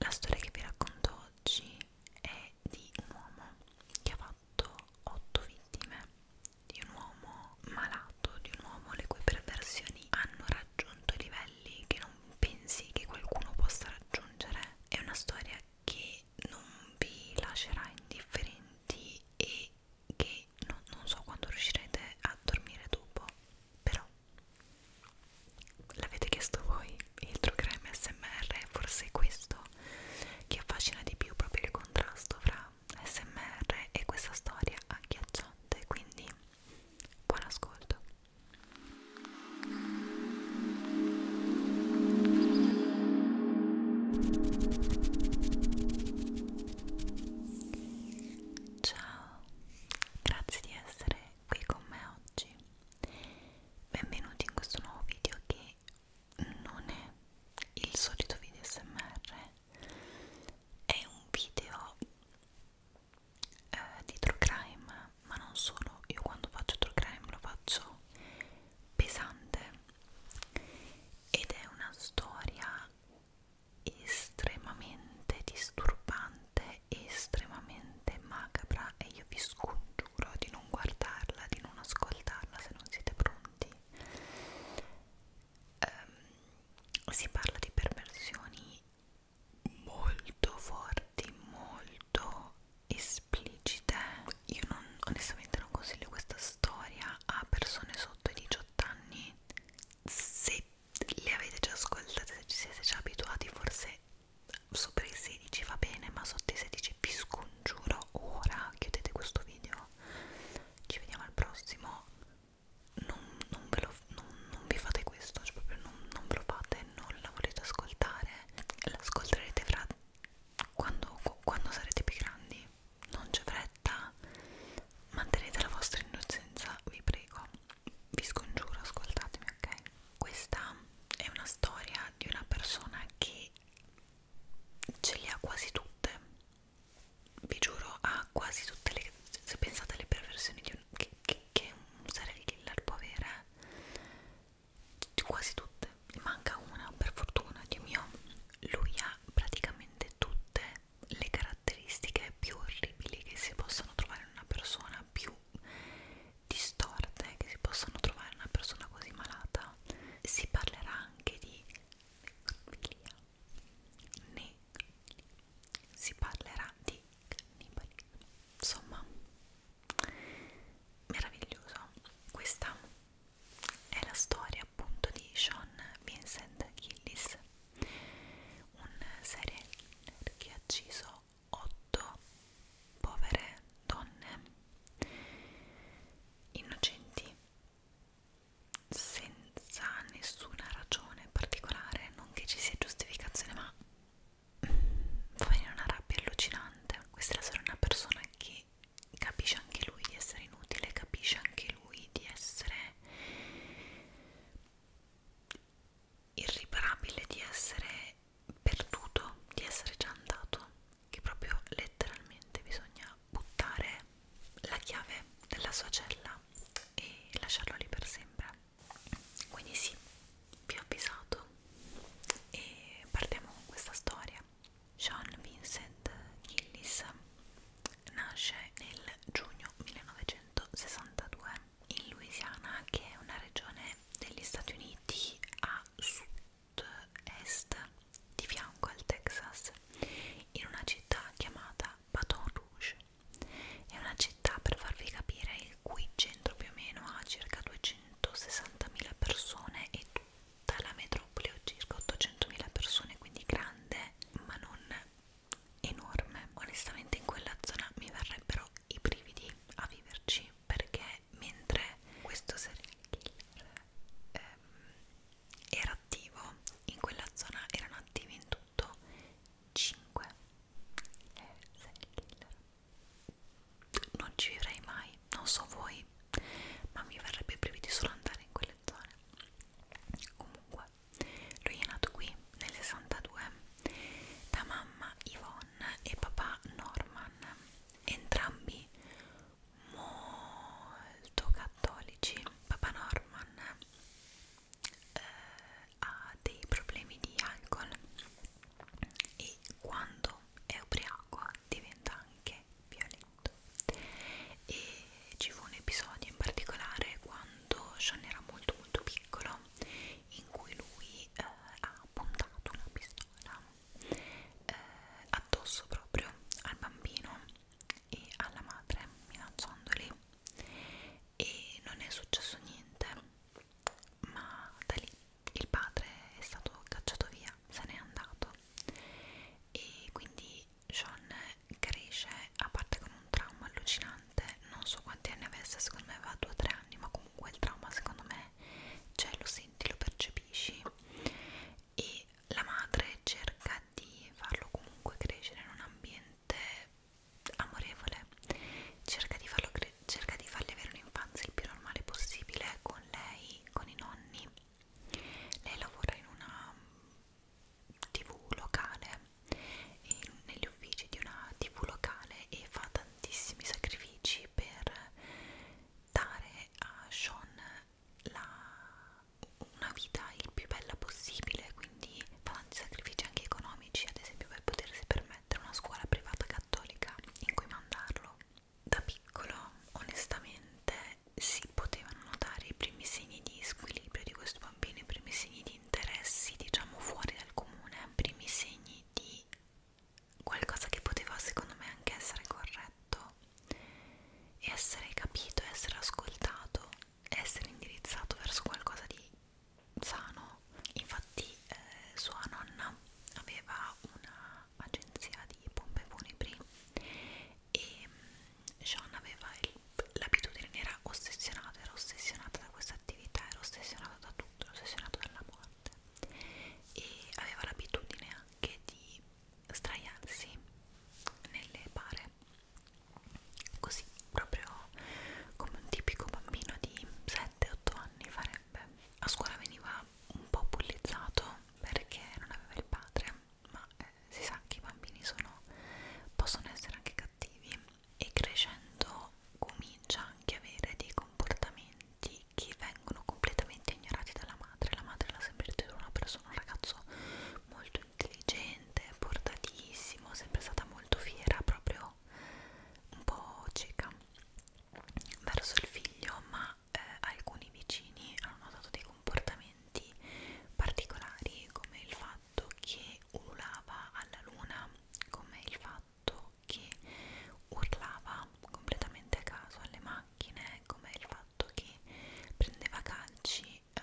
La storia che vi racconto oggi è di un uomo che ha fatto otto vittime, di un uomo malato, di un uomo le cui perversioni hanno raggiunto livelli che non pensi che qualcuno possa raggiungere. È una storia che non vi lascerà indifferenti e che non, non so quando riuscirete a dormire dopo, però L'avete chiesto voi? Il True Crime SMR forse è questo che affascina di più proprio il contrasto fra SMR e questa storia agghiacciante, quindi buon ascolto. Ciao, grazie di essere qui con me oggi benvenuti in questo nuovo video che non è il solito video smr è un video eh, di true crime ma non solo io quando faccio true crime lo faccio pesante ed è una storia estremamente disturbante è estremamente macabra e io vi scongiuro di non guardarla, di non ascoltarla se non siete pronti. Um, si parla di perversioni molto forti, molto esplicite. Io non, onestamente non consiglio questa storia a persone sotto i 18 anni. Se le avete già ascoltate, se ci siete già abituati, forse sopra i 16 va bene ma sotto i 16 vi scongiuro ora chiudete questo video ci vediamo al prossimo non, non, ve lo, non, non vi fate questo cioè proprio non, non ve lo fate non la volete ascoltare l'ascolterete fra quando, quando sarete più grandi non c'è fretta mantenete la vostra innocenza vi prego vi scongiuro ascoltatemi ok questa è una storia di una persona che ce le ha quasi tutte vi giuro ha quasi tutte le se pensate alle perversioni di un, che, che, che un serial killer può avere eh, quasi tutte ne manca una per fortuna Dio mio lui ha praticamente tutte le caratteristiche più orribili che si possono trovare in una persona più distorte che si possono trovare in una persona così malata si parlerà anche di necrofilia ne si parlerà di cannibalismo insomma meraviglioso questa è la storia appunto di Sean Vincent Gillis un serial killer che ha ucciso otto povere donne innocenti senza nessuna ragione particolare, non che ci sia giustificazione, ma va mm, bene una rabbia allucinante. Questa è la sera una persona che capisce anche lui di essere inutile, capisce anche lui di essere irriparabile, di essere perduto di essere già andato che proprio letteralmente bisogna buttare la chiave della sua cella e lasciarlo lì per sempre quindi sì vi ho avvisato e partiamo con questa storia Sean Vincent Gillis nasce nel giugno 1962 in Louisiana, che è una regione degli Stati Uniti a sud-est, di fianco al Texas, in una città chiamata Baton Rouge. È una città, per farvi capire, il cui centro più o meno ha circa 260.000 persone e tutta la metropoli ha circa 800.000 persone, quindi grande, ma non enorme. Onestamente in quella zona mi verrebbero i brividi a viverci oggi perché mentre questo serial killer ehm, era attivo in quella zona erano attivi in tutto 5 eh, serial killer non ci vivrei mai non so voi ma mi verrebbe i brividi solo andare in quelle zone comunque lui è nato qui nel 62 da mamma Ivona e papà Norman, entrambi molto cattolici. Papà Norman eh, ha dei problemi di alcol e quando è ubriaco diventa anche violento. E ci fu un episodio in particolare quando Sean era molto molto piccolo in cui lui eh, ha puntato una pistola eh, addosso proprio al bambino e alla madre minacciandoli e non è successo niente ma da lì il padre è stato cacciato via se n'è andato e quindi Sean cresce a parte con un trauma allucinante non so quanti anni avesse secondo me va a 2 o 3 anni ma comunque il trauma secondo me cioè lo senti, lo percepisci e la madre cerca di farlo comunque crescere in un ambiente amorevole cerca di, farlo cerca di fargli avere un'infanzia il più normale possibile con lei, con i nonni lei lavora in una tv locale e negli negli uffici di una tv locale e fa tantissimi sacrifici per dare a Sean la, una vita il più bella possibile, quindi fa tanti sacrifici anche economici, ad esempio per potersi permettere una scuola privata cattolica in cui mandarlo. Da piccolo, onestamente, si potevano notare i primi segni di squilibrio di questo bambino, i primi segni di interessi, diciamo, fuori dal comune, i primi segni di qualcosa che poteva secondo me anche essere corretto essere capito, essere ascoltato essere indirizzato verso qualcosa di sano infatti eh, sua nonna aveva un'agenzia di pompe funebri e mm, Sean aveva l'abitudine, era ossessionata, era ossessionata da questa attività, era ossessionata da tutto, era ossessionata dall'amore notte e aveva l'abitudine anche di straiarsi nelle pare così proprio come un tipico bambino di 7-8 anni farebbe a scuola veniva un po' bullizzato perché non aveva il padre ma eh, si sa che i bambini sono, possono essere anche cattivi e crescendo comincia anche a avere dei comportamenti che vengono completamente ignorati dalla madre. La madre l'ha sempre ritenuta una persona, un ragazzo molto intelligente, portatissimo, sempre stata molto fiera, proprio un po' cieca verso il figlio, ma eh, alcuni vicini hanno notato dei comportamenti particolari come il fatto che ululava alla luna, come il fatto fatto che urlava completamente a caso alle macchine, come il fatto che prendeva calci eh,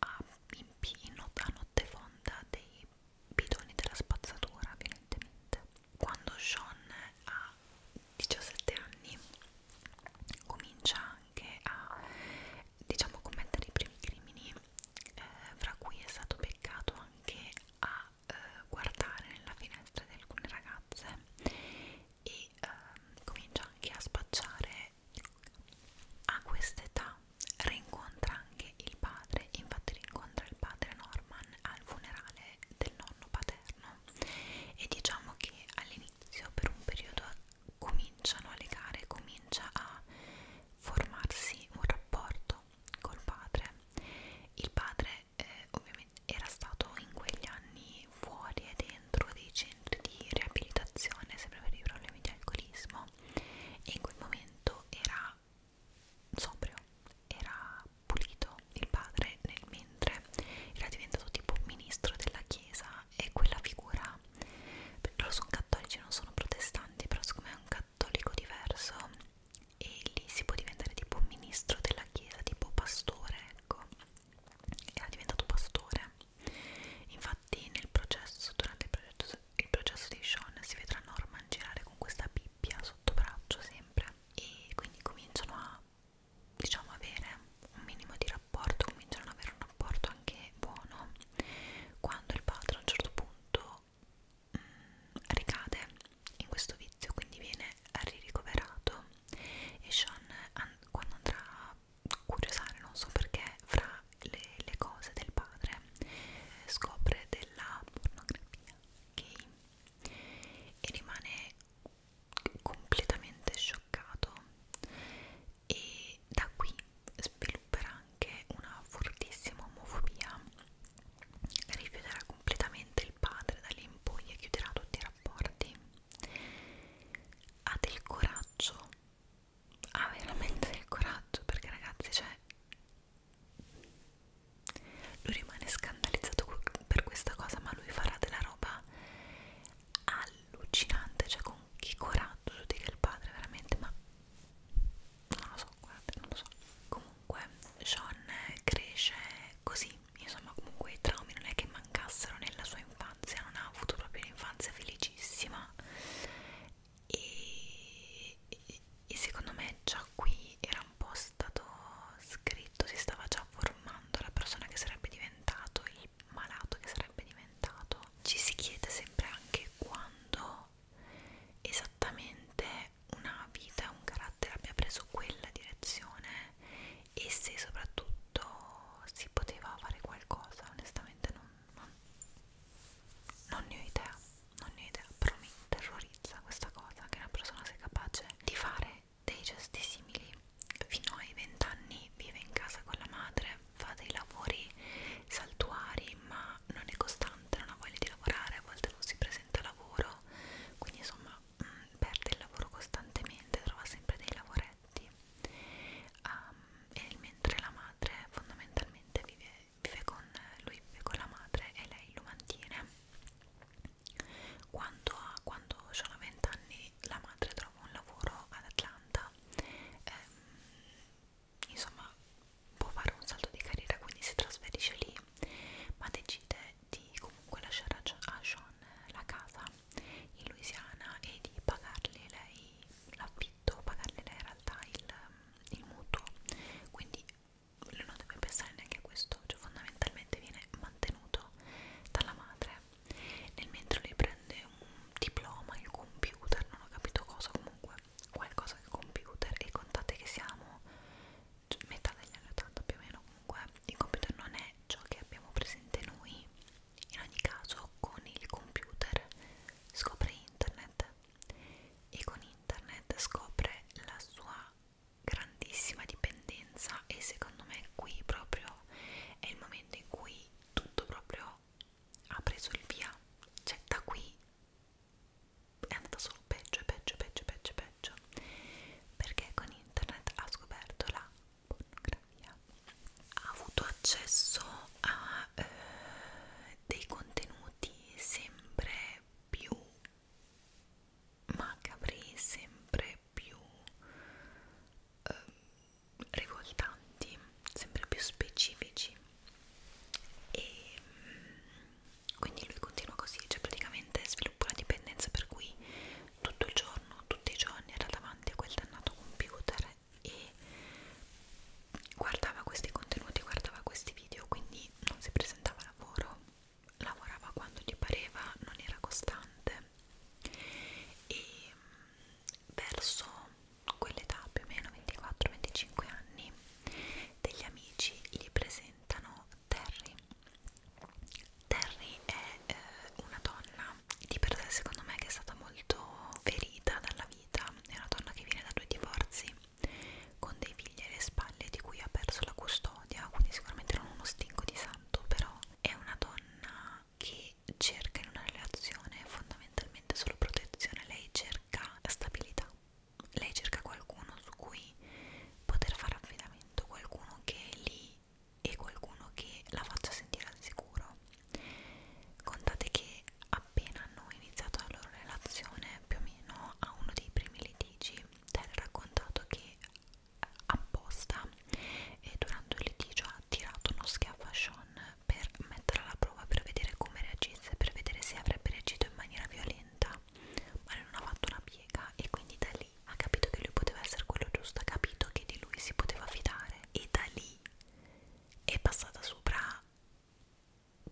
a, in, in not a notte fonda dei bidoni della spazzatura, evidentemente. Quando Sean ha 17 anni comincia anche a diciamo commettere i primi crimini eh, fra cui è stato beccato anche a eh, guardare nella finestra di alcune ragazze e eh, comincia anche a spacciare a quest'età rincontra anche il padre infatti rincontra il padre Norman al funerale del nonno paterno e diciamo che all'inizio per un periodo cominciano a legare comincia a formarsi un rapporto col padre il padre eh, ovviamente era stato in quegli anni fuori e dentro dei centri di riabilitazione sempre per i problemi di alcolismo e in quel momento era sobrio, era pulito il padre nel mentre era diventato tipo ministro della chiesa e quella figura, perché loro sono cattolici, non sono protestanti, però siccome è un, cattolico diverso e lì si può diventare tipo ministro della chiesa, tipo pastore, ecco. Era diventato pastore. Infatti nel processo, durante il processo, il processo di Sean si vedrà Norman girare con questa Bibbia sotto braccio sempre e quindi cominciano a diciamo avere un minimo di rapporto, cominciano ad avere un rapporto anche buono quando il padre a un certo punto po' mm, mh, ricade in questo vizio, quindi viene ricoverato e Sean an quando andrà a curiosare, non so perché, fra le, le cose del padre scopre della pornografia gay e rimane completamente scioccato e da qui svilupperà anche una fortissima omofobia rifiuterà completamente il padre dalle in poi e chiuderà tutti i rapporti ha del coraggio ha veramente del coraggio perché ragazzi cioè lui rimane scandalizzato per questa cosa ma lui farà della roba allucinante cioè con che coraggio giudica il padre veramente ma non lo so guardate non lo so comunque comunque Sean cresce così, insomma comunque i traumi non è che mancassero nella sua infanzia, non ha avuto proprio un'infanzia felicissima e, e, e secondo me già qui era un po' stato scritto, si stava già formando la persona che sarebbe diventato, il malato che sarebbe diventato. Ci si chiede sempre anche quando esattamente una vita, un carattere abbia preso quella direzione e se soprattutto si poteva fare qualcosa, onestamente non, non, non ne ho idea, non ne ho idea, però mi terrorizza questa cosa che una persona sia capace di fare dei gesti simili fino ai vent'anni vive in casa con la madre, fa dei lavori saltuari ma non è costante, non ha voglia di lavorare, a volte non si presenta a lavoro fa quindi insomma mh, mm, perde il lavoro costantemente trova sempre dei lavoretti um, e mentre la madre fondamentalmente vive, vive con lui vive con la madre e lei lo mantiene quando ha quando sono 20 anni la madre trova un lavoro ad Atlanta ehm, insomma può fare un salto di carriera quindi si trasferisce lì lui ma decide di comunque lasciare a Sean la casa in Louisiana e di pagarle lei l'affitto, pagarle lei in realtà il, il mutuo quindi lui non deve pensare neanche a questo, cioè fondamentalmente viene mantenuto dalla madre nel mentre lui prende un diploma, il computer, non ho capito cosa comunque qualcosa del computer e contate che siamo cioè, metà degli anni 80 più o meno comunque il computer non è ciò che abbiamo presente noi in ogni caso con il computer scopre internet e con internet scopre la sua grandissima dipendenza e secondo me qui proprio è il momento in cui tutto proprio ha preso il via cioè da qui è andata solo peggio e peggio, peggio, peggio, peggio perché con internet ha scoperto la pornografia ha avuto accesso a eh, dei contenuti sempre più macabri, sempre più eh, rivoltanti, sempre più specifici e mm, quindi lui continua così, cioè praticamente sviluppa una dipendenza per cui tutto il giorno, tutti i giorni era davanti a quel dannato computer e guardava questi contenuti, guardava questi video, quindi non si presentava a lavoro, lavorava quando gli pareva, non era costante e mm, verso quell'età più o meno 24-25 anni degli amici gli presentano Terry Terry è eh, una donna di per sé secondo me che è stata molto ferita dalla vita è una donna che viene da due divorzi con dei figli alle spalle di cui ha perso la custodia quindi sicuramente non uno stinco di santo però è una donna che cerca in una relazione fondamentalmente solo protezione lei cerca stabilità lei cerca qualcuno su cui poter fare affidamento, qualcuno che è lì e qualcuno che la faccia sentire al sicuro. Contate che appena hanno iniziato la loro relazione, più o meno a uno dei primi litigi, Ted ha raccontato che apposta e durante il litigio ha tirato uno schiaffo a Sean per metterla alla prova, per vedere come reagisse, per vedere se avrebbe reagito in maniera violenta piega ma lei non ha fatto una piega e quindi da lì ha capito che lui poteva essere quello giusto ha capito che di lui si poteva fidare e da lì è passata sopra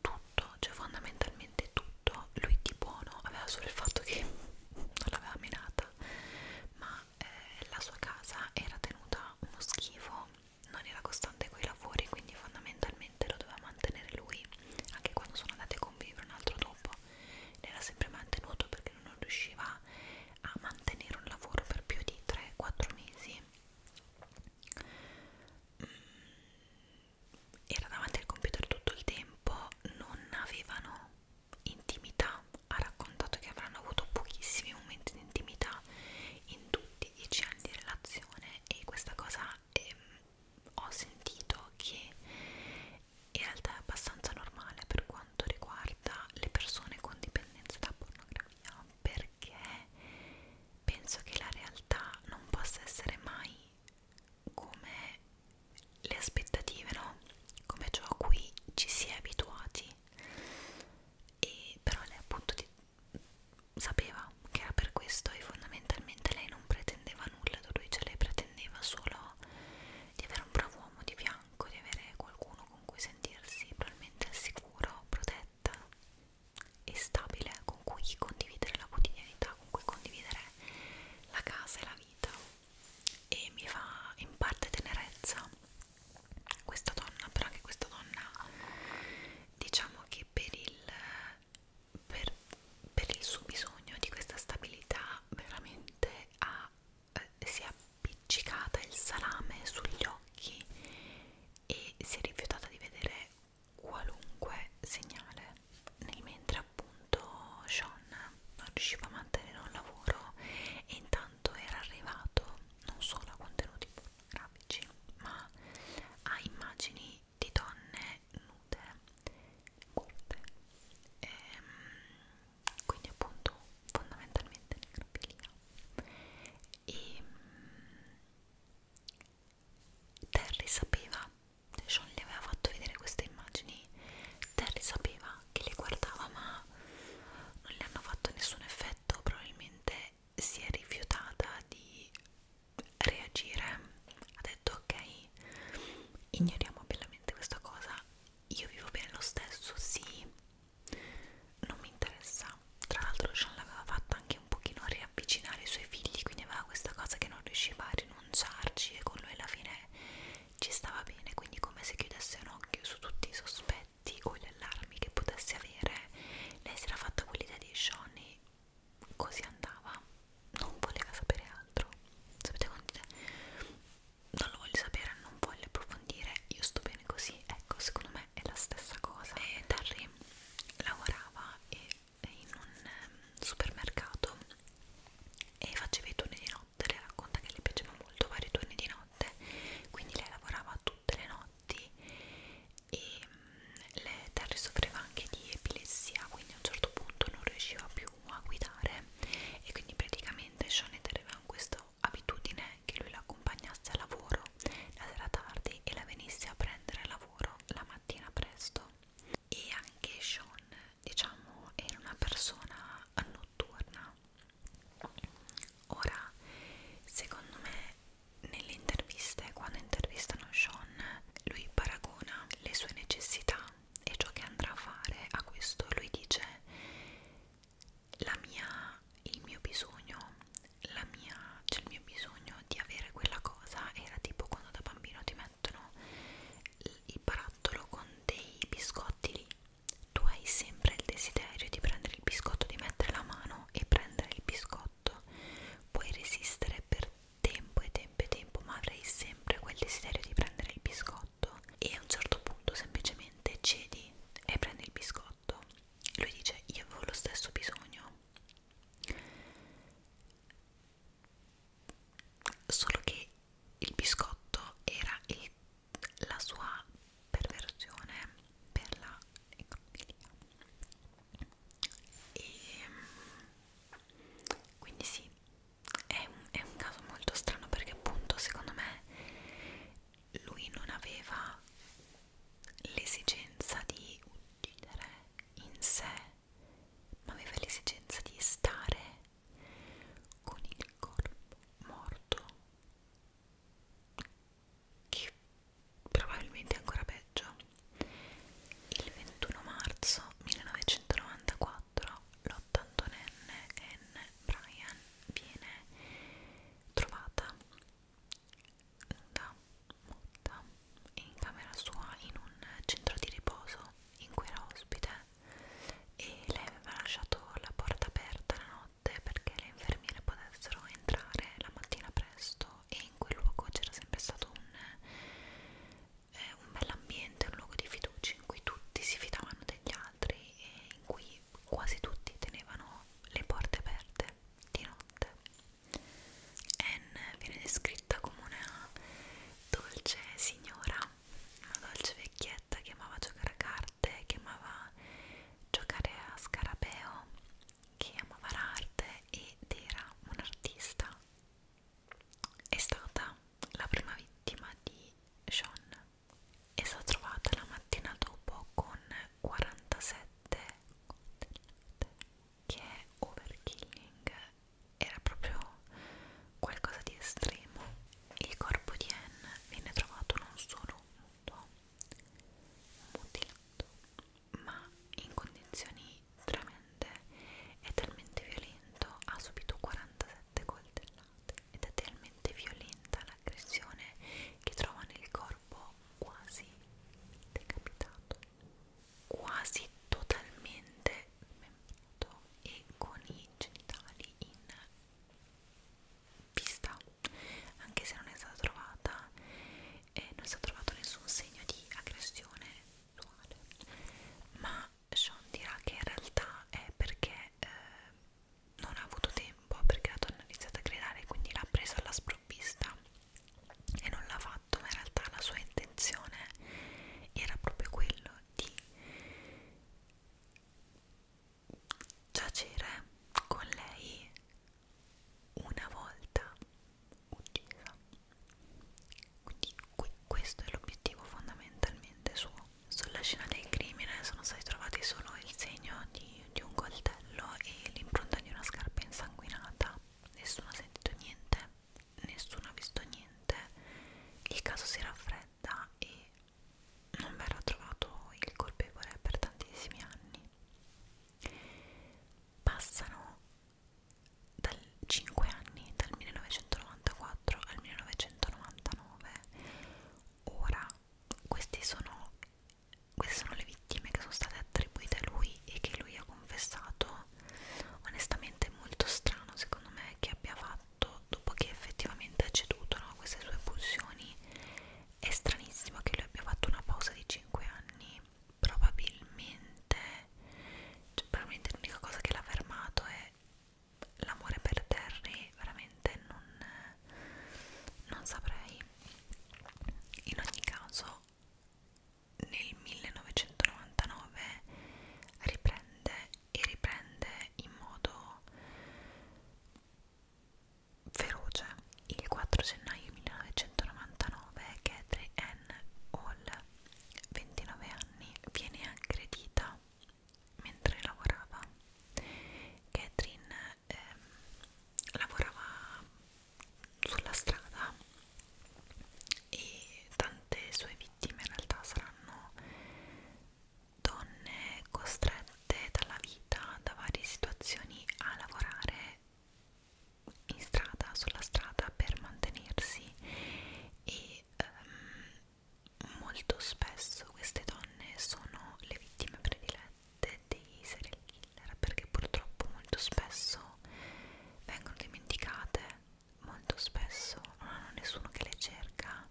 tutto, cioè fondamentalmente tutto lui di buono aveva solo il fatto che non l'aveva menata ma eh, la sua casa era tenuta uno schifo non era costante quei lavori quindi fondamentalmente ovviamente lo doveva mantenere lui anche quando sono andati a convivere un altro dopo l'era sempre mantenuto perché non riusciva a mantenere un lavoro per più di 3-4 mesi mm, era davanti al computer tutto il tempo non avevano intimità ha raccontato che avranno avuto pochissimi momenti di intimità in tutti i dieci anni di relazione e questa cosa ehm, ho sentito che in realtà è abbastanza normale per quanto riguarda le persone con dipendenza da pornografia perché penso che la realtà non possa essere mai come le aspettative, no? Come ciò a cui ci si è abituati e però lei appunto di, sapeva che era per questo e fondamentalmente lei non pretendeva nulla da lui, cioè lei pretendeva solo di avere un bravo uomo di fianco, di avere qualcuno con cui sentirsi probabilmente al sicuro, protetta e stabile, con cui condividere la quotidianità, con cui condividere la casa e la vita. E mi fa in parte tenerezza questa donna, però anche questa donna diciamo che per il per, per il suo bisogno di questa stabilità veramente ha, eh, si è appiccicata il salame sugli occhi e si è rifiutata di vedere qualunque segnale nel mentre appunto Sean non riusciva a mantenere un lavoro e intanto era arrivato non solo a contenuti pornografici ma a immagini di donne nude, morte, e, ehm, quindi appunto fondamentalmente necrofilia e ehm, Terry sapeva, Sean gli aveva fatto vedere queste immagini, Terry sapeva che le guardava ma non le hanno fatto nessun effetto, probabilmente si è rifiutata di reagire ha detto ok ignoriamo bellamente questa cosa io vivo bene lo stesso sì non mi interessa tra l'altro Sean l'aveva fatta anche un pochino riavvicinare i suoi figli quindi aveva questa cosa che non riusciva a rinunciarci e con lui alla fine ci stava bene quindi come se chiudesse un occhio su tutti i sospetti o gli allarmi che potesse avere lei si era fatta quell'idea di Sean così andava non voleva sapere altro sapete quando non lo voglio sapere non voglio approfondire io sto bene così ecco secondo me è la stessa cosa e Terry lavorava e, e in un um, supermercato e faceva i turni di notte le racconta che le piaceva molto fare i turni di notte quindi lei lavorava tutte le notti e um, le Terry soffriva anche di epilessia quindi a un certo punto non riusciva più più a guidare e quindi praticamente Shonet aveva questa abitudine che lui la accompagnasse a lavoro la sera tardi e la venisse a prendere a lavoro la mattina presto e anche Sean diciamo era una persona notturna ora secondo me nelle interviste quando intervistano Sean lui paragona le sue necessità e ciò che andrà a fare a questo lui dice la mia il mio bisogno la mia cioè il mio bisogno di avere quella cosa era tipo quando da bambino ti mettono il barattolo con dei biscotti lì tu hai sempre il desiderio di prendere il biscotto di mettere la mano e prendere il biscotto puoi resistere per tempo e tempo e tempo ma avrei sempre quel desiderio di prendere il biscotto e a un certo punto semplicemente cedi e prendi il biscotto lui dice io avevo lo stesso bisogno solo che il biscotto era il, la sua perversione per la economia e quindi sì è un, è un caso molto strano perché appunto secondo me lui non aveva l'esigenza di uccidere in sé ma aveva l'esigenza di stare con il corpo morto che probabilmente è ancora peggio il 21 marzo 1994 1994 l'ottantonenne Anne Bryan viene trovata nuda, morta, in camera sua in un centro di riposo in cui era ospite e lei aveva lasciato la porta aperta la notte perché le infermiere potessero entrare la mattina presto e in quel luogo c'era sempre stato un eh, un bell'ambiente, un luogo di fiducia in cui tutti si fidavano degli altri e in cui quasi tutti tenevano le porte aperte di notte. Anne viene descritta come una dolce signora, una dolce vecchietta che amava giocare a carte, che amava giocare a scarabeo, che amava l'arte ed era un'artista è stata la prima vittima di Sean è stata trovata la mattina dopo con 47 che è overkilling era proprio qualcosa di estremo il corpo di Anne viene trovato non solo muto mutilato ma in condizioni tremende è talmente violento ha subito 47 coltellate ed è talmente violenta l'aggressione che trova nel corpo quasi decapitato quasi totalmente smembrato e con i genitali in pista anche se non è stata trovata eh, non è stato trovato nessun segno di aggressione sessuale ma Sean dirà che in realtà è perché eh, non ha avuto tempo, perché la donna ha iniziato a gridare, quindi l'ha presa alla sprovvista e non l'ha fatto, ma in realtà la sua intenzione era proprio quello di giacere con lei una volta uccisa quindi qui, questo è l'obiettivo fondamentalmente suo sulla scena del crimine sono stati trovati solo il segno di, di un coltello e l'impronta di una scarpa insanguinata nessuno ha sentito niente nessuno ha visto niente il caso si raffredda e non verrà trovato il colpevole per tantissimi anni passano dal 5 anni, dal 1994 al 1999. Ora, queste sono, queste sono le vittime che sono state attribuite a lui e che lui ha confessato. Onestamente è molto strano secondo me che abbia fatto, dopo che effettivamente ha ceduto a no, queste sue pulsioni, è stranissimo che lui abbia fatto una pausa di 5 anni. Probabilmente, cioè, probabilmente l'unica cosa che l'ha fermato è cioè l'amore per Terry veramente non, non saprei in ogni caso nel 1999 riprende e riprende in modo feroce il 4 gennaio 1999 Catherine Ann Hall 29 anni, viene aggredita mentre lavorava. Catherine ehm, lavorava sulla strada e tante sue vittime in realtà saranno donne costrette dalla vita, da varie situazioni a lavorare in strada, sulla strada per mantenersi e ehm, molto spesso queste donne sono le vittime predilette dei serial killer perché purtroppo molto spesso vengono dimenticate, molto spesso non hanno nessuno che le cerca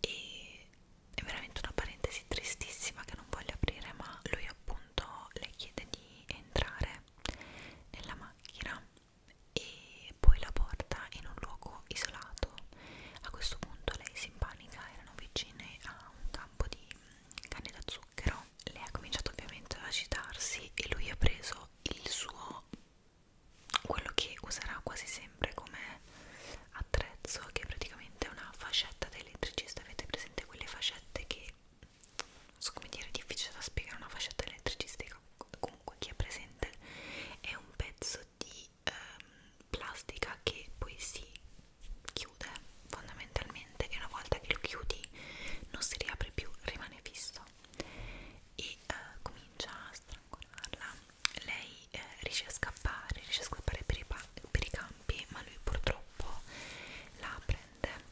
e è veramente una parentesi tristissima che non voglio aprire ma lui appunto le chiede di entrare nella macchina e poi la porta in un luogo isolato. A questo punto lei si impanica, erano vicine a un campo di canne da zucchero. Lei ha cominciato ovviamente ad agitarsi e lui ha preso il suo quello che userà quasi sempre come attrezzo, che è praticamente una fascetta da elettricista. Avete presente quelle fascette che non so come dire, è difficile da spiegare una fascetta elettricistica, comunque chi è presente è un pezzo di ehm, plastica che poi si chiude fondamentalmente e una volta che lo chiudi non si riapre più, rimane fisso e eh, comincia a strangolarla lei eh, riesce a scappare, riesce a scappare per i, per i campi ma lui purtroppo la prende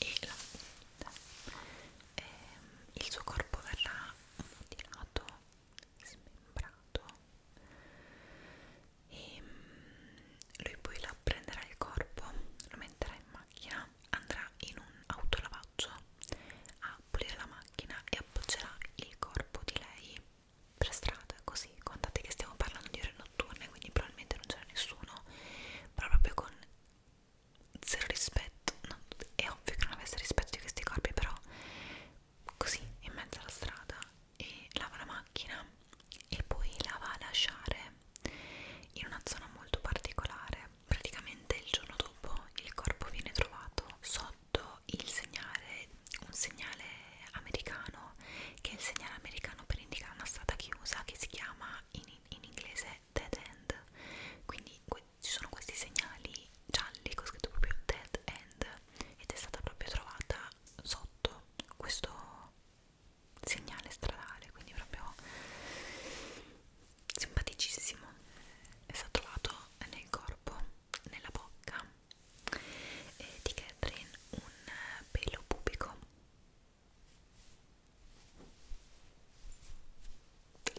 e la vita e ehm, il suo corpo verrà mutilato, smembrato e ehm, lui poi la prenderà il corpo, lo metterà in macchina, andrà in un autolavaggio a pulire la macchina e appoggerà il corpo di lei per strada così contate che stiamo parlando di ore notturne quindi probabilmente non c'era nessuno però proprio con zero rispetto non, è ovvio che non avesse rispetto di questi corpi però così in mezzo alla strada e lava la macchina e poi la va a lasciare in una zona molto particolare praticamente il giorno dopo il corpo viene trovato sotto il segnale un segnale americano che è il segnale americano per indicare una strada chiusa che si chiama in, in inglese è dead end quindi ci sono questi segnali gialli con scritto proprio dead end ed è stata proprio trovata sotto questo segnale stradale quindi proprio simpaticissimo è stato trovato nel corpo nella bocca eh, di Catherine un eh, pelo pubico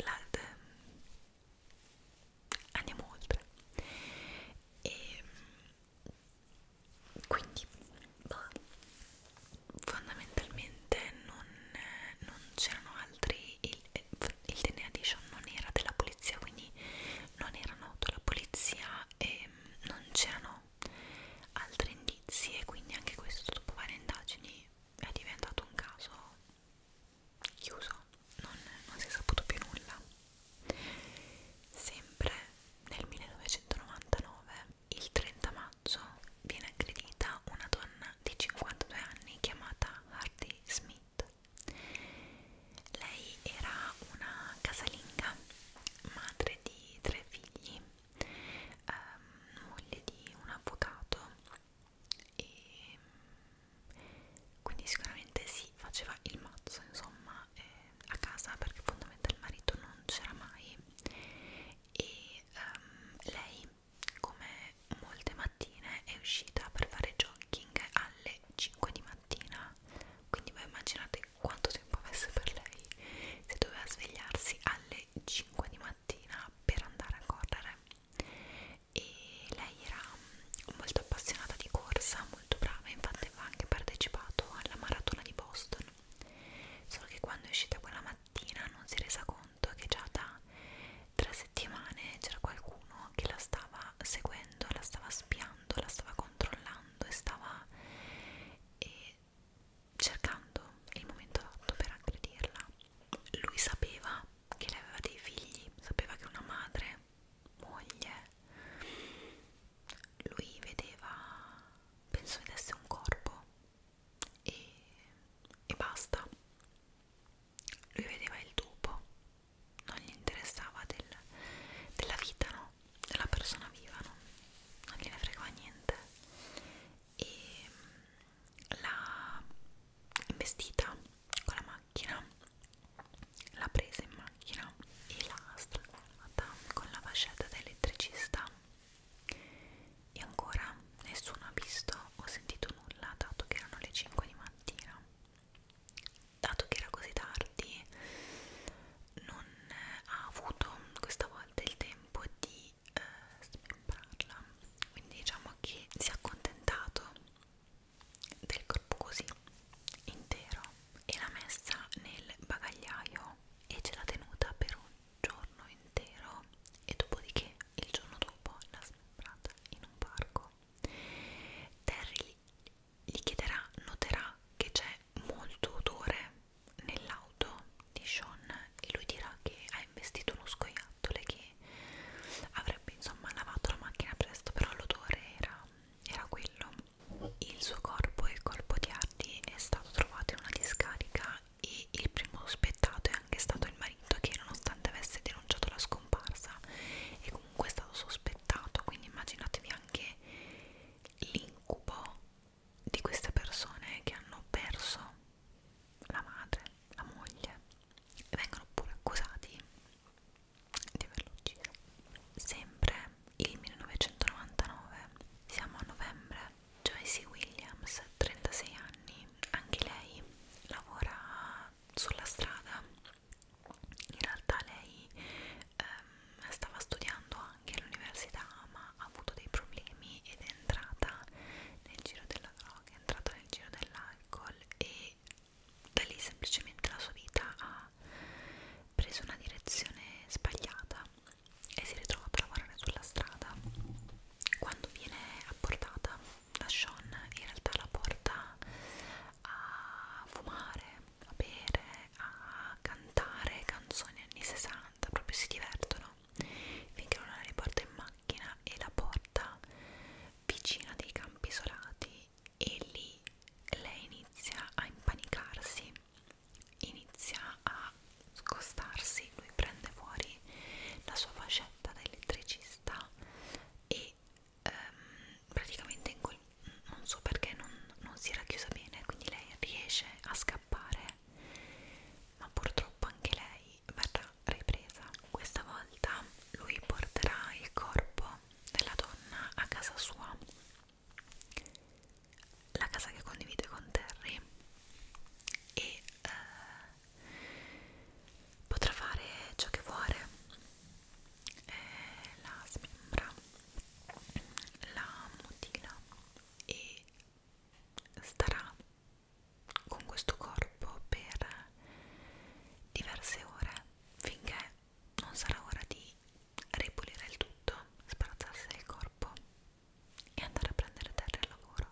la, de, ehm, andiamo oltre e quindi bah, fondamentalmente non, non c'erano altri il, eh, il DNA Edition non era della polizia quindi non era noto alla polizia e mm, non c'erano altri indizi e quindi anche questo dopo varie indagini è diventato un caso chiuso, non, non si è saputo più nulla. Sempre nel 1999, il 30 maggio, viene aggredita una donna di 52 anni chiamata Hardy Smith. Lei era una casalinga, madre di tre figli, ehm, moglie di un avvocato e mm, quindi sicuramente si faceva il mazzo insomma eh, a casa perché fondamentalmente il marito non c'era mai e um, lei come molte mattine è uscita per fare jogging alle 5 di mattina quindi voi immaginate quanto tempo avesse per lei se doveva svegliarsi alle 5 di mattina mattina per andare a correre e lei era molto appassionata di corsa, molto brava, infatti aveva anche partecipato alla maratona di Boston solo che quando è uscita quella mattina non si è resa conto che già da tre settimane c'era qualcuno che la stava seguendo, la stava spiando, la stava controllando e stava... E cercando il momento adatto per aggredirla. Lui sapeva che lei aveva dei figli, sapeva che una madre, moglie, lui vedeva, penso vedesse un corpo e, e basta. Lui vedeva il dopo, non gli interessava del, della vita, no? Della persona viva, no? Non gliene fregava niente e mm, l'ha investita con la macchina l'ha presa in macchina e l'ha strangolata con la fascetta da elettricista e ancora nessuno ha visto o sentito nulla dato che erano le 5 di mattina dato che era così tardi non ha avuto questa volta il tempo di di eh, smembrarla quindi diciamo che si è accontentato del corpo così intero e l'ha messa nel bagagliaio e ce l'ha tenuta per un giorno intero e dopodiché il giorno dopo l'ha smembrata in un parco Terry gli chiederà, noterà che c'è molto odore nell'aula aiuto di Sean e lui dirà che ha investito uno scoiattolo che avrebbe insomma lavato la macchina presto però l'odore era, era quello il suo corpo e il corpo di Hardy è stato trovato in una discarica e il primo sospettato è anche stato il marito che nonostante avesse denunciato la scomparsa è comunque stato sospettato quindi immaginatevi anche l'incubo di queste persone che hanno perso la madre, la moglie e vengono pure accusati di averlo ucciso. Sempre il 1999, siamo a novembre, Joyce Williams, 36 anni, anche lei lavora sulla strada. In realtà lei ehm, stava studiando anche all'università ma ha avuto dei problemi ed è entrata nel giro della droga che è entrato nel giro dell'alcol e da lì semplicemente la sua vita ha preso una direzione sbagliata e si ritrova a lavorare sulla strada quando viene apportata da Sean in realtà la porta a fumare, a bere, a cantare canzoni anni 60 proprio si divertono finché non la riporta in macchina e la porta vicina dei campi isolati e lì lei inizia a impanicarsi, inizia a scostarsi, lui prende fuori la sua fascetta da elettricista e ehm, praticamente in quel, non so perché non, non si era chiusa bene, quindi lei riesce a scappare ma purtroppo anche lei poi verrà ripresa. Questa volta lui porterà il corpo della donna a casa sua, la casa che condivide con Terry, e eh, potrà fare ciò che vuole. Eh, la smembra, la mutila e starà con questo corpo per diverse ore finché non sarà ora di ripulire il tutto, sparazzarsi il corpo e andare a prendere terra al lavoro.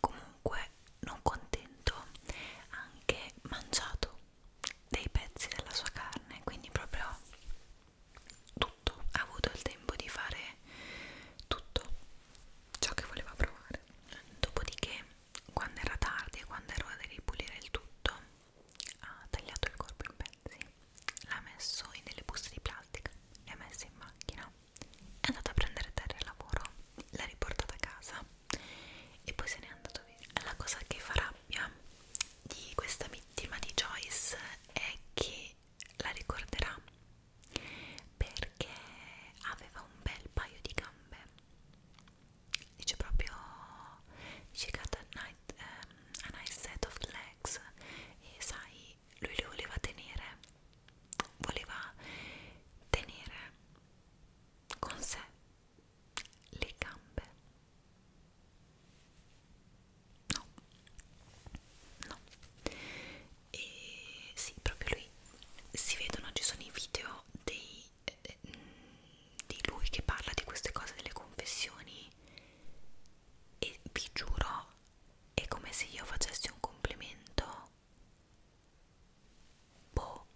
Comunque, non contento, ha anche mangiato dei pezzi della sua carne, quindi proprio tutto, ha avuto il tempo di fare tutto ciò che voleva provare dopodiché quando era tardi e quando era ora di ripulire il tutto ha tagliato il corpo in pezzi l'ha messo in delle buste di plastica le ha messe in macchina è andata a prendere terra al lavoro l'ha riportata a casa e poi se n'è andato via la cosa che fa rabbia di questa vittima di Joyce è che la ricorderà perché aveva un bel paio di gambe dice proprio dice got a, night, um, a nice set of legs e sai lui le voleva tenere voleva tenere con sé le gambe no no e sì, proprio lui si vedono, ci sono i video dei, eh, di lui che parla di queste cose delle confessioni e vi giuro è come se io facessi un complimento boh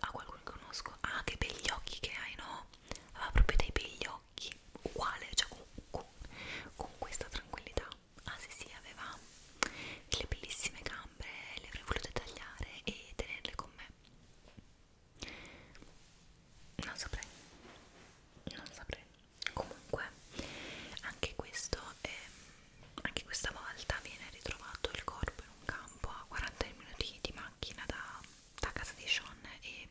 a qualcuno che conosco ah che begli occhi che hai no aveva proprio dei begli occhi uguale cioè con, con, con questa tranquillità ah sì sì aveva delle bellissime gambe le avrei volute tagliare e tenerle con me non saprei non saprei comunque anche questo ehm, anche questa volta viene ritrovato il corpo in un campo a 40 minuti di macchina da, da casa di Sean e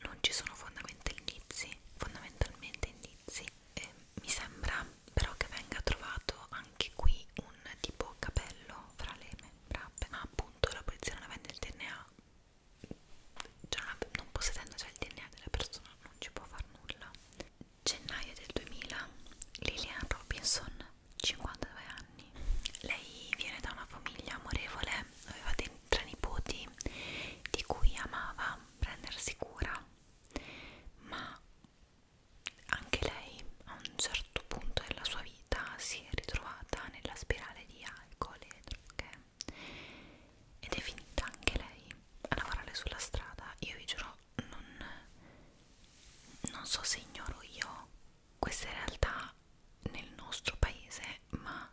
non ci sono fondamentalmente indizi, fondamentalmente indizi eh, mi sembra però che venga trovato anche qui un tipo capello fra le membra ma appunto la polizia cioè, non avendo il DNA cioè non possedendo già il DNA della persona non ci può far nulla gennaio del 2000 Lillian Robinson 52 anni lei viene da una famiglia amorevole aveva tre nipoti di cui amava prendersi cura ma anche lei a un certo punto della sua vita si è ritrovata nella spirale di alcol e droghe ed è finita anche lei a lavorare sulla strada. Io vi giuro, non, non so se ignoro io queste realtà nel nostro paese, ma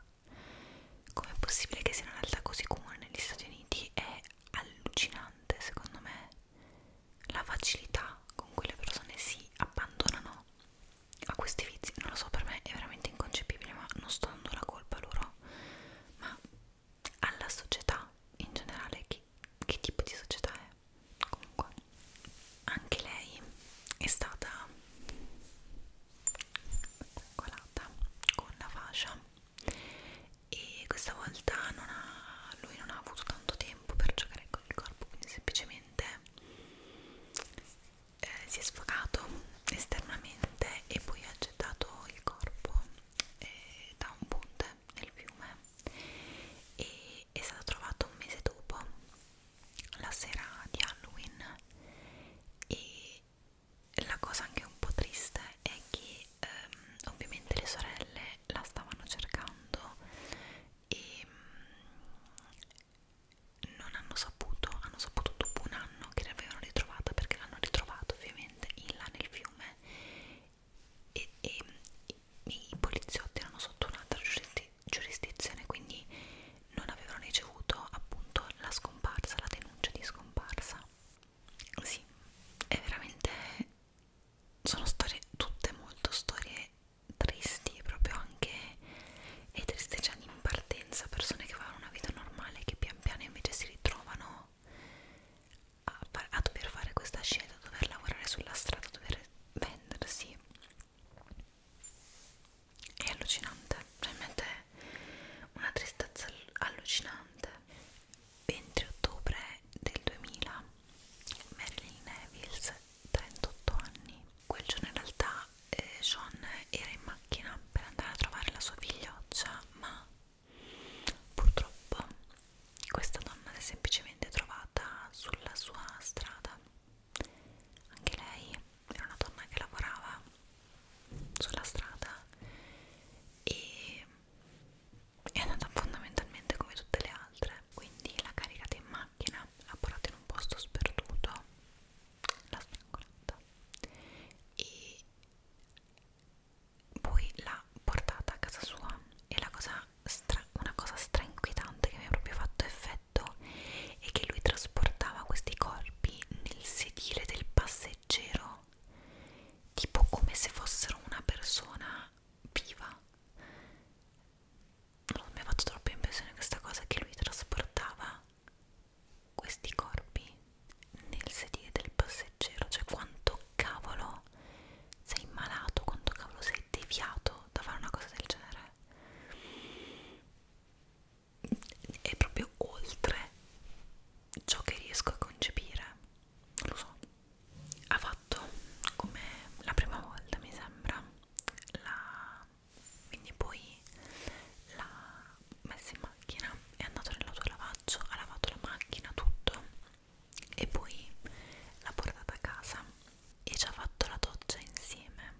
com'è possibile che sia una realtà così comune negli Stati Uniti è allucinante secondo me la facilità con cui le persone si abbandonano a questi vizi non lo so per me è veramente inconcepibile ma non sto dando la colpa loro ma alla società in generale che, che tipo di società è comunque anche lei è stata strangolata con la fascia e questa volta non ha, lui non ha avuto tanto tempo per giocare con il corpo quindi semplicemente eh, si è sfogato esternamente e poi ha gettato il corpo eh, da un ponte nel fiume e è stato trovato un mese dopo la sera di Halloween e la cosa anche un po' triste è che ehm, ovviamente le sorelle la stavano cercando e mh, mm, non hanno saputo, hanno saputo dopo un anno che l'avevano ritrovata perché l'hanno ritrovata ovviamente in là nel fiume e, e, e i poliziotti erano sotto un'altra giurisdi giurisdizione quindi non avevano ricevuto appunto la scomparsa, la denuncia di scomparsa sì, è veramente sono storie tutte molto storie tristi proprio anche e tristeggianti cioè in partenza persone che avevano una vita normale che pian piano invece si ritrovano a, a dover fare questa scelta a dover lavorare sulla strada a dover vendersi è allucinante, realmente una tristezza allucinante 20 ottobre del 2000 Marilyn Nevils 38 anni quel giorno in realtà eh, Sean era in macchina per andare a trovare la sua figlioccia ma purtroppo questa donna si è semplicemente trovata sulla sua strada anche lei era una donna che lavorava sulla strada e è andata fondamentalmente come tutte le altre quindi la caricata in macchina l'ha portata in un posto sperduto l'ha strangolata e poi l'ha portata a casa sua e la cosa stra una cosa strainquietante che mi ha proprio fatto effetto è che lui trasportava questi corpi nel sedile del passeggero no? Tipo come se fossero una persona viva. Non mi ha fatto troppo impressione questa cosa che lui trasportava questi corpi nel sedile del passeggero. Cioè quanto cavolo sei malato, quanto cavolo sei deviato da fare una cosa del genere è proprio oltre ciò che riesco a concepire lo so ha fatto come la prima volta mi sembra la quindi poi l'ha messa in macchina è andato nell'autolavaggio ha lavato la macchina tutto e poi l'ha portata a casa e ci ha fatto la doccia insieme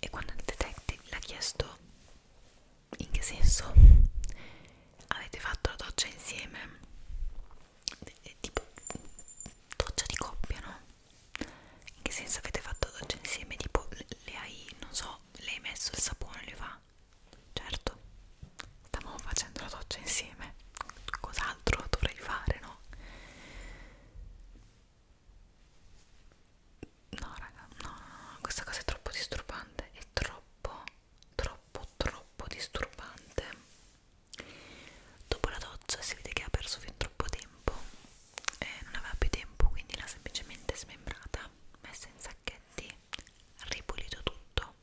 e quando il detective l'ha chiesto in che senso avete fatto la doccia insieme e, tipo doccia di coppia no in che senso avete fatto la doccia insieme tipo le hai non so le hai messo il sapone le fa certo stavamo facendo la doccia insieme cos'altro dovrei fare no no raga no, no, no questa cosa è troppo disturbante è troppo troppo troppo disturbante dopo la doccia si vede che ha perso fin troppo tempo e non aveva più tempo quindi l'ha semplicemente smembrata messa in sacchetti ripulito tutto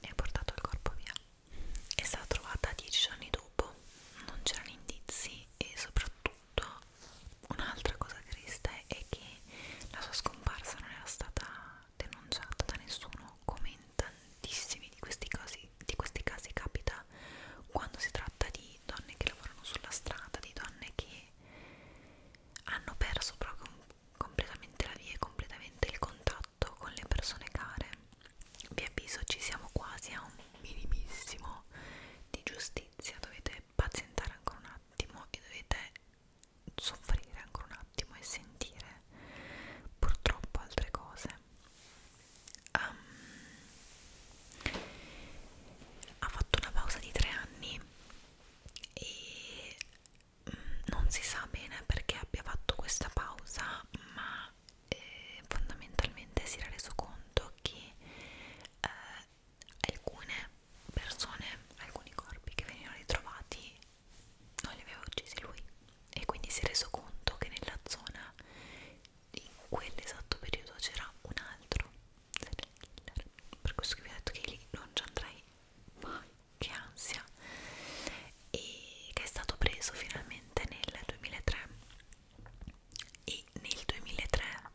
e ha portato il corpo via è stata trovata dieci giorni dopo non c'erano indizi e soprattutto soprattutto un'altra cosa triste è che la sua scomparsa non era stata denunciata da nessuno come in tantissimi di questi casi, di questi casi capita quando si tratta di donne che lavorano sulla strada, di donne che hanno perso proprio completamente la via e completamente il contatto con le persone care. Vi avviso, ci siamo quasi a un minimissimo di giustizia, dovete pazientare ancora un attimo e dovete soffrire ancora un attimo e sentire purtroppo altre cose um, ha fatto una pausa di tre anni e mm, non si sa bene perché abbia fatto questa pausa ma eh, fondamentalmente si era reso conto che eh, alcune persone, alcuni corpi che venivano ritrovati non li aveva uccisi lui e quindi si è reso conto che nella zona in quell'esatto periodo c'era un altro serial killer per questo che vi ho detto che lì non ci andrei mai che ansia e che è stato preso finalmente nel 2003 e nel 2003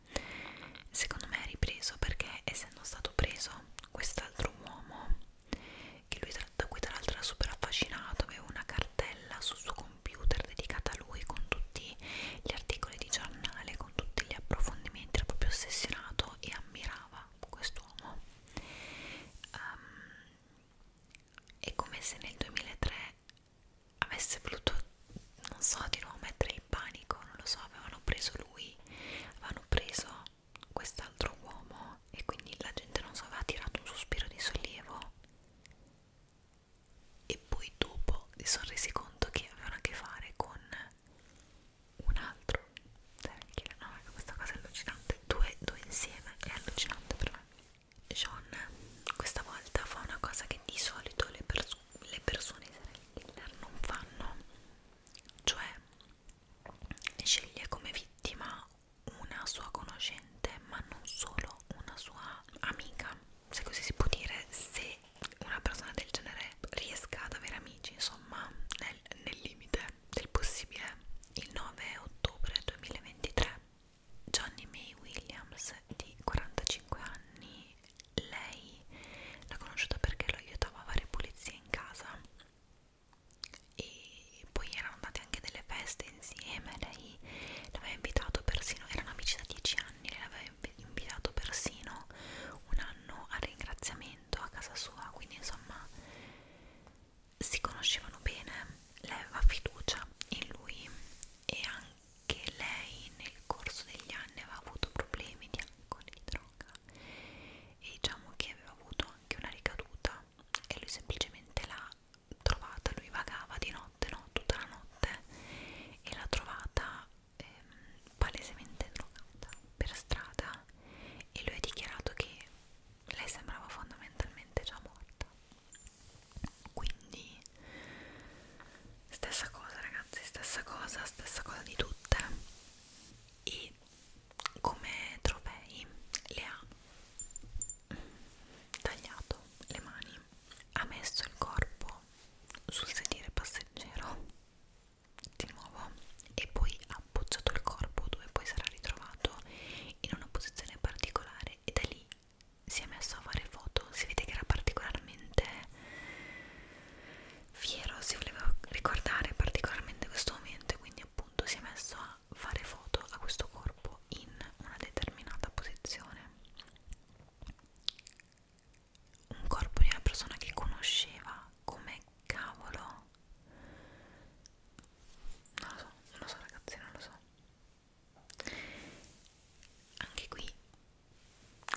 secondo me è ripreso perché essendo stato preso quest'altro uomo che lui tra, da cui tra l'altro era super affascinato aveva una cartella sul suo computer dedicata a lui con tutti gli articoli di giornale con tutti gli approfondimenti era proprio ossessionato e ammirava quest'uomo um, ehm, è come se nel 2003 avesse voluto, non so, di nuovo mettere in panico, non lo so, avevano preso lui, avevano preso quest'altro uomo e quindi la gente, non so, aveva tirato un sospiro di sollievo e poi dopo si sono resi conto che avevano a che fare con un altro no, ecco, questa cosa è allucinante due, due insieme è allucinante per me John questa volta fa una cosa che di solito le persone le persone serial killer non fanno, cioè sceglie come vittima una sua conoscente, ma non solo una sua amica, se così si può dire, se una persona del genere riesca ad avere amici, insomma, nel, nel limite del possibile. Il 9 ottobre 2023 Johnny May Williams di 45 anni lei l'ha conosciuta perché lo aiutava a fare pulizie in casa e poi erano andate anche delle feste insieme lei l'aveva invitato persino erano amici da 10 anni lei l'aveva invitato persino un anno al ringraziamento a casa sua quindi insomma si conoscevano bene lei aveva fiducia in lui e anche che lei nel corso degli anni aveva avuto problemi di alcol e di droga e diciamo che aveva avuto anche una ricaduta e lui semplicemente l'ha trovata, lui vagava di notte, no, tutta la notte e l'ha trovata ehm, palesemente drogata per strada e lui ha dichiarato che lei sembrava fondamentalmente già morta quindi stessa cosa ragazzi stessa cosa stessa cosa di tutte e come trofei le ha tagliato le mani ha messo il corpo sul sedile passeggero di nuovo e poi ha appoggiato il corpo dove poi sarà ritrovato in una posizione particolare e da lì si è messo a fare foto si vede che era particolarmente fiero, si voleva ricordare particolarmente questo momento e quindi appunto si è messo a fare foto a questo corpo in una determinata posizione un corpo di una persona che conosceva come cavolo non lo so, non lo so ragazzi, non lo so anche qui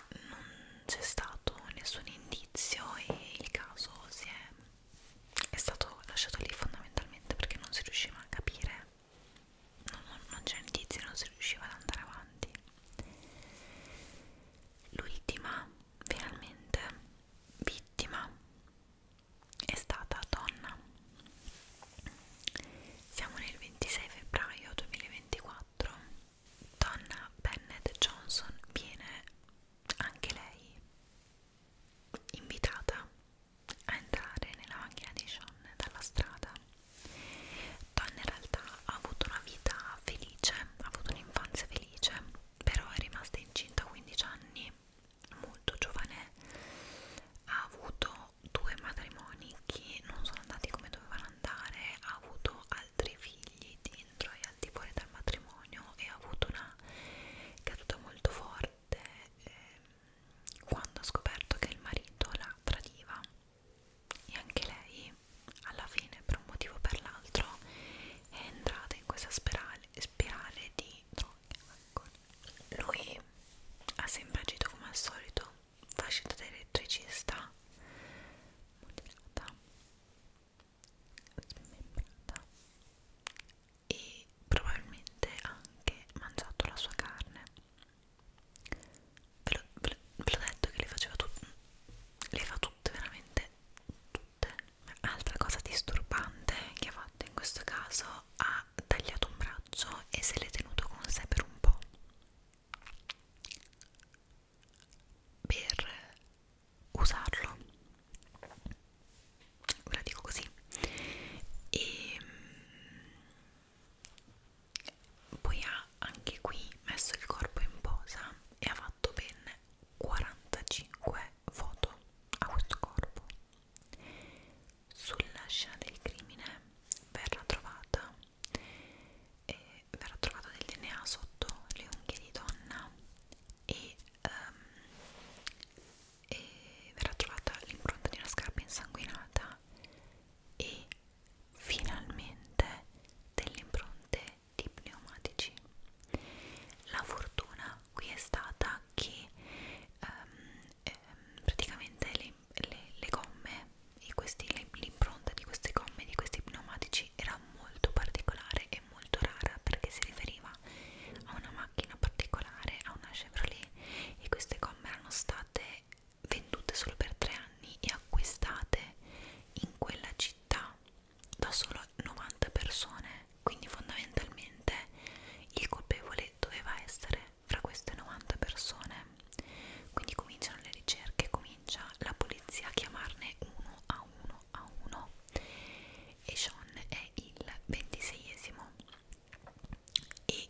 non c'è stato nessun indizio e il caso si è, è stato lasciato lì fondamentalmente perché non si riusciva a capire non, non, non c'era indizi, non si riusciva ad andare avanti l'ultima finalmente vittima è stata donna siamo nel 26 febbraio 2024 Donna Bennett Johnson viene anche lei invitata a entrare nella macchina di John dalla strada. Donna in realtà ha avuto una vita felice, ha avuto un'infanzia felice, però è rimasta incinta a 15 anni, molto giovane, ha avuto due matrimoni ricchi non sono andati come dovevano andare, ha avuto altri figli dentro e al di fuori dal matrimonio e ha avuto una caduta molto forte eh, quando ha scoperto che il marito la tradiva e anche lei alla fine per un motivo o per l'altro è entrata in questa spirale, spirale di droga. Ecco. Lui ha sempre agito come al solito facendo da elettricista moderata smembrata e probabilmente anche mangiato la sua carne ve l'ho detto che le faceva tutte le fa tutte veramente tutte altra cosa disturbante che ha fatto in questo caso ha tagliato un braccio e se l'è tenuto con sé per un po' per usarlo ve la dico così e ehm, poi ha anche qui messo il corpo in posa e ha fatto ben 45 foto a questo corpo sulla scena del crimine verrà trovata eh, verrà trovato del DNA sotto le unghie di donna e, um, e verrà trovata l'impronta di una scarpa insanguinata e finalmente delle impronte di pneumatici. La fortuna qui è stata che um, ehm, praticamente le, le, le gomme e questi, l'impronta di queste gomme, di questi pneumatici era molto particolare e molto rara perché si riferiva a una macchina particolare, a una Chevrolet e queste gomme erano state vendute solo per tre anni e acquistate in quella città da solo 90 persone quindi fondamentalmente il colpevole doveva essere fra queste 90 persone quindi cominciano le ricerche, comincia comincia la polizia a chiamarne uno a uno a uno e Sean è il ventiseiesimo e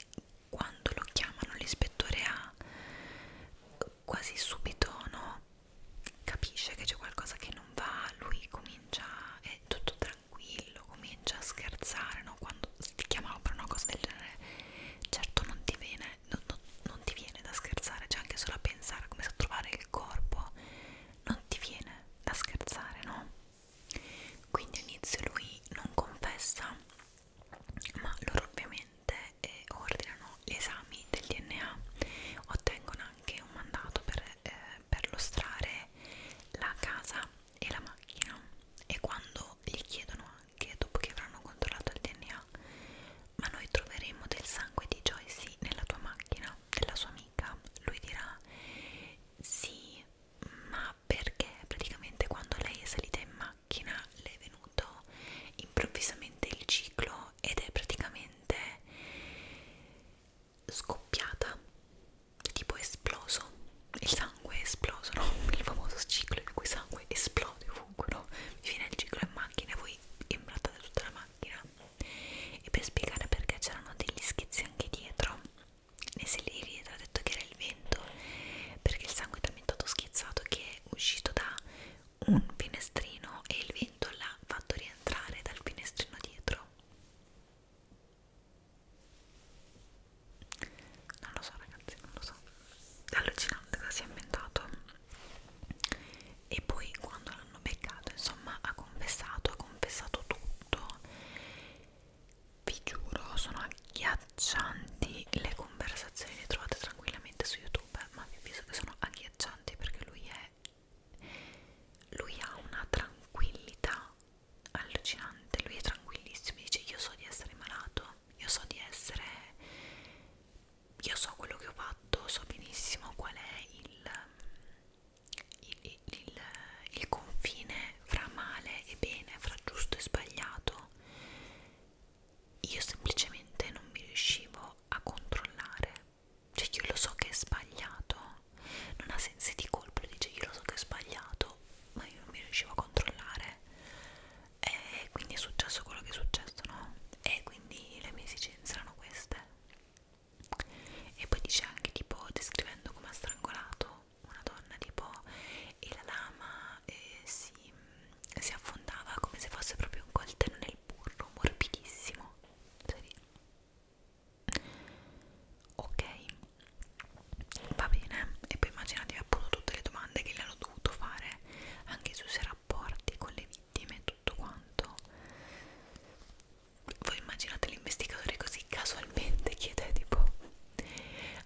quando lo chiamano l'ispettore A quasi subito no, capisce che c'è qualcosa che non va, lui comincia, è tutto tranquillo, comincia a scherzare, no? quando ti chiamano per una cosa del genere certo non ti viene non, non, non ti viene da scherzare, cioè anche solo a pensare a come sa trovare il corpo, non ti viene da scherzare, no? Quindi all'inizio lui non confessa, ma loro ovviamente eh, ordinano gli esami del DNA, ottengono anche un mandato per, eh, per lustrare la casa e la macchina e quando gli chiedono anche dopo che avranno controllato il DNA ma noi troveremo del sangue di Joyce nella tua macchina della sua amica lui dirà sì ma perché praticamente quando lei è salita in macchina le è venuto improvvisamente il ciclo ed è praticamente scoppiata tipo esploso il sangue è esploso no? il famoso ciclo in cui sangue esplode fungono vi viene il ciclo in macchina e voi imbrattate tutta la macchina e per spiegare perché c'erano degli schizzi anche dietro nei selli dietro ha detto che era il vento perché il sangue è talmente schizzato che è uscito da un finestrino e il vento l'ha fatto rientrare dal finestrino dietro non lo so ragazzi non lo so è allucinante cosa si è inventato e poi quando l'hanno beccato insomma ha confessato ha confessato tutto vi giuro sono agghiaccianti le conversazioni le trovate tranquillamente su youtube ma vi avviso che sono agghiaccianti perché lui è lui ha una tranquillità allucinante lui è tranquillissimo dice io so di essere malato io so di essere io so quello che ho fatto, so benissimo qual è il, il, il, il confine fra male e bene, fra giusto e sbagliato. Io semplicemente non mi riuscivo a controllare, cioè io lo so che è sbagliato, non ha sensi di colpa, dice io lo so che è sbagliato, ma io non mi riuscivo a controllare e quindi è successo quello che è successo, no? E quindi le mie esigenze erano queste. E poi dice anche tipo descrivendo come ha strangolato una donna tipo e la lama eh, si, si affondava come se fosse proprio un coltello nel burro, morbidissimo. Ok, va bene. E poi immaginatevi appunto tutte le domande che gli hanno dovuto fare anche su se era rapporti con le vittime e tutto quanto voi immaginate l'investigatore così casualmente chiede tipo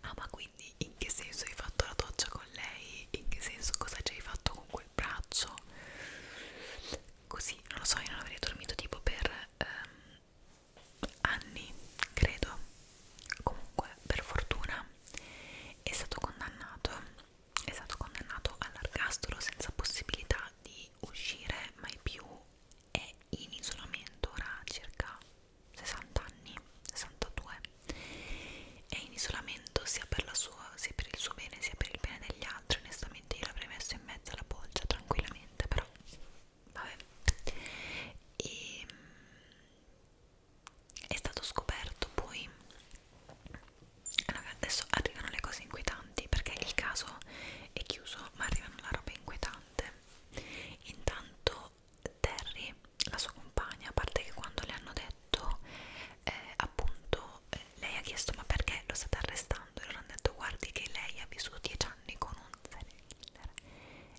ah ma quindi in che senso hai fatto la doccia con lei in che senso cosa ci hai fatto con quel braccio così non lo so io non avrei dormito tipo per ehm, anni credo comunque per fortuna è stato condannato è stato condannato all'ergastolo senza possibilità di uscire mai più è in isolamento ora circa 60 anni, 62 è in isolamento sia per, la sua, sia per il suo bene sia per il bene degli altri onestamente io l'avrei messo in mezzo alla bolgia tranquillamente però vabbè e ehm, è stato scoperto poi adesso arrivano le cose inquietanti perché il caso è chiuso ma arrivano la roba inquietante intanto Terry la sua compagna a parte che quando le hanno detto eh, appunto eh, lei ha chiesto ma perché lo state arrestando e loro hanno detto guardi che lei ha vissuto 10 anni con un serial killer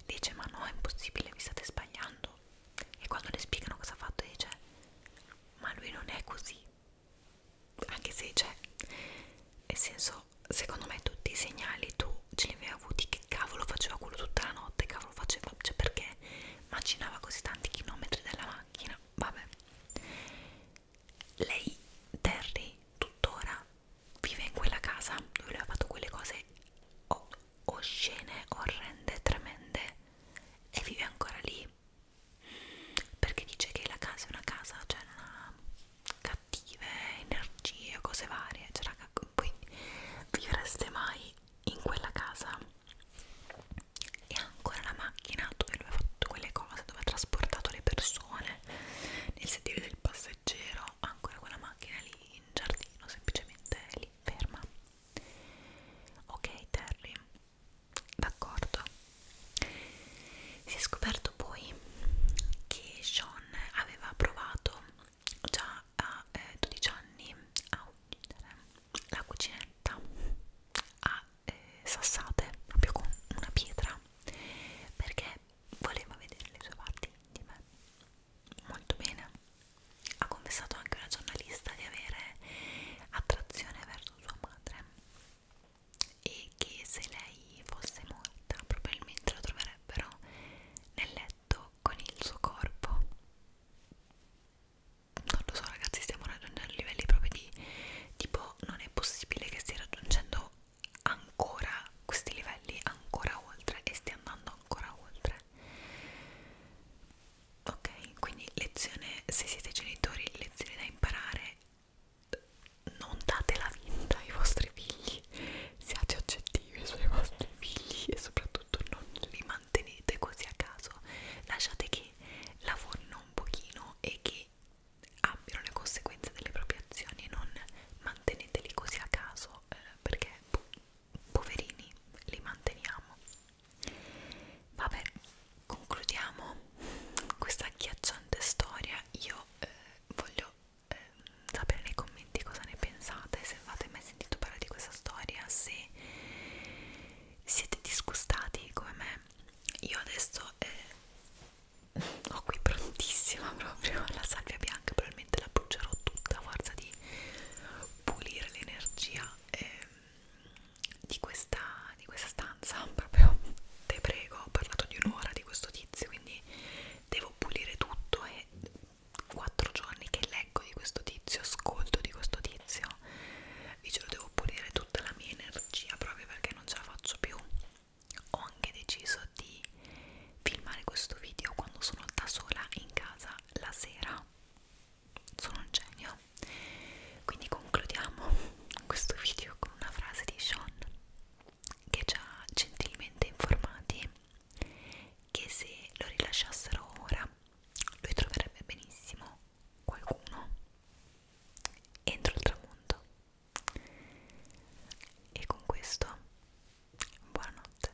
dice ma no è impossibile vi state sbagliando e quando le spiegano cosa ha fatto dice ma lui non è così anche se c'è cioè, nel senso secondo me tutti i segnali tu ce li avevi avuti che cavolo faceva quello tutta la notte cavolo faceva cioè perché macinava così tanti chilometri della macchina vabbè lei Terry tuttora vive in quella casa dove lui ha fatto quelle cose oh, oscene, orrende, tremende e vive ancora lì perché dice che la casa è una casa, cioè non ha cattive energie o cose varie, cioè raga, voi vivreste mai in quella casa e ha ancora la macchina dove lui ha fatto quelle cose, dove ha trasportato le persone nel sedile del passeggero, ha ancora quella macchina lì in giardino, semplicemente lì ferma Ok Terry, d'accordo. Si è scoperto poi che Sean aveva provato già a eh, 12 anni a uccidere la cucinetta a eh, sassate, proprio con una pietra, perché voleva vedere le sue parti intime molto bene ha confessato anche una giornalista di avere attrazione verso sua madre e che se lei fosse morta probabilmente la troverebbero nel letto con il suo corpo non lo so ragazzi stiamo raggiungendo livelli proprio di tipo non è possibile che stia raggiungendo ancora questi livelli ancora oltre e stia andando ancora oltre ok quindi lezione se siete genitori lezione da imparare non date la vita ai vostri figli siate oggettivi sui vostri figli e soprattutto non li mantenete così a caso lasciate che lavorino un pochino e che abbiano le conseguenze delle proprie azioni e non manteneteli così a caso eh, perché boh, poverini, li manteniamo. Vabbè, concludiamo questa agghiacciante storia. Io eh, voglio eh, sapere nei commenti cosa ne pensate, se avete mai sentito parlare di questa storia, se siete disgustati come me. Io adesso eh, ho qui prontissima proprio la salvia bianca, probabilmente la brucerò tutta a forza di pulire l'energia. Eh, di questa, di questa stanza proprio te prego ho parlato di un'ora di questo tizio quindi devo pulire tutto e quattro giorni che leggo di questo tizio ascolto di questo tizio vi giuro devo pulire tutta la mia energia proprio perché non ce la faccio più ho anche deciso di filmare questo video quando sono da sola in casa la sera sono un genio quindi concludiamo questo video con una frase di Sean che ci ha gentilmente informati che se lo rilasciassero ora lui troverebbe benissimo qualcuno entro il tramonto e con questo buonanotte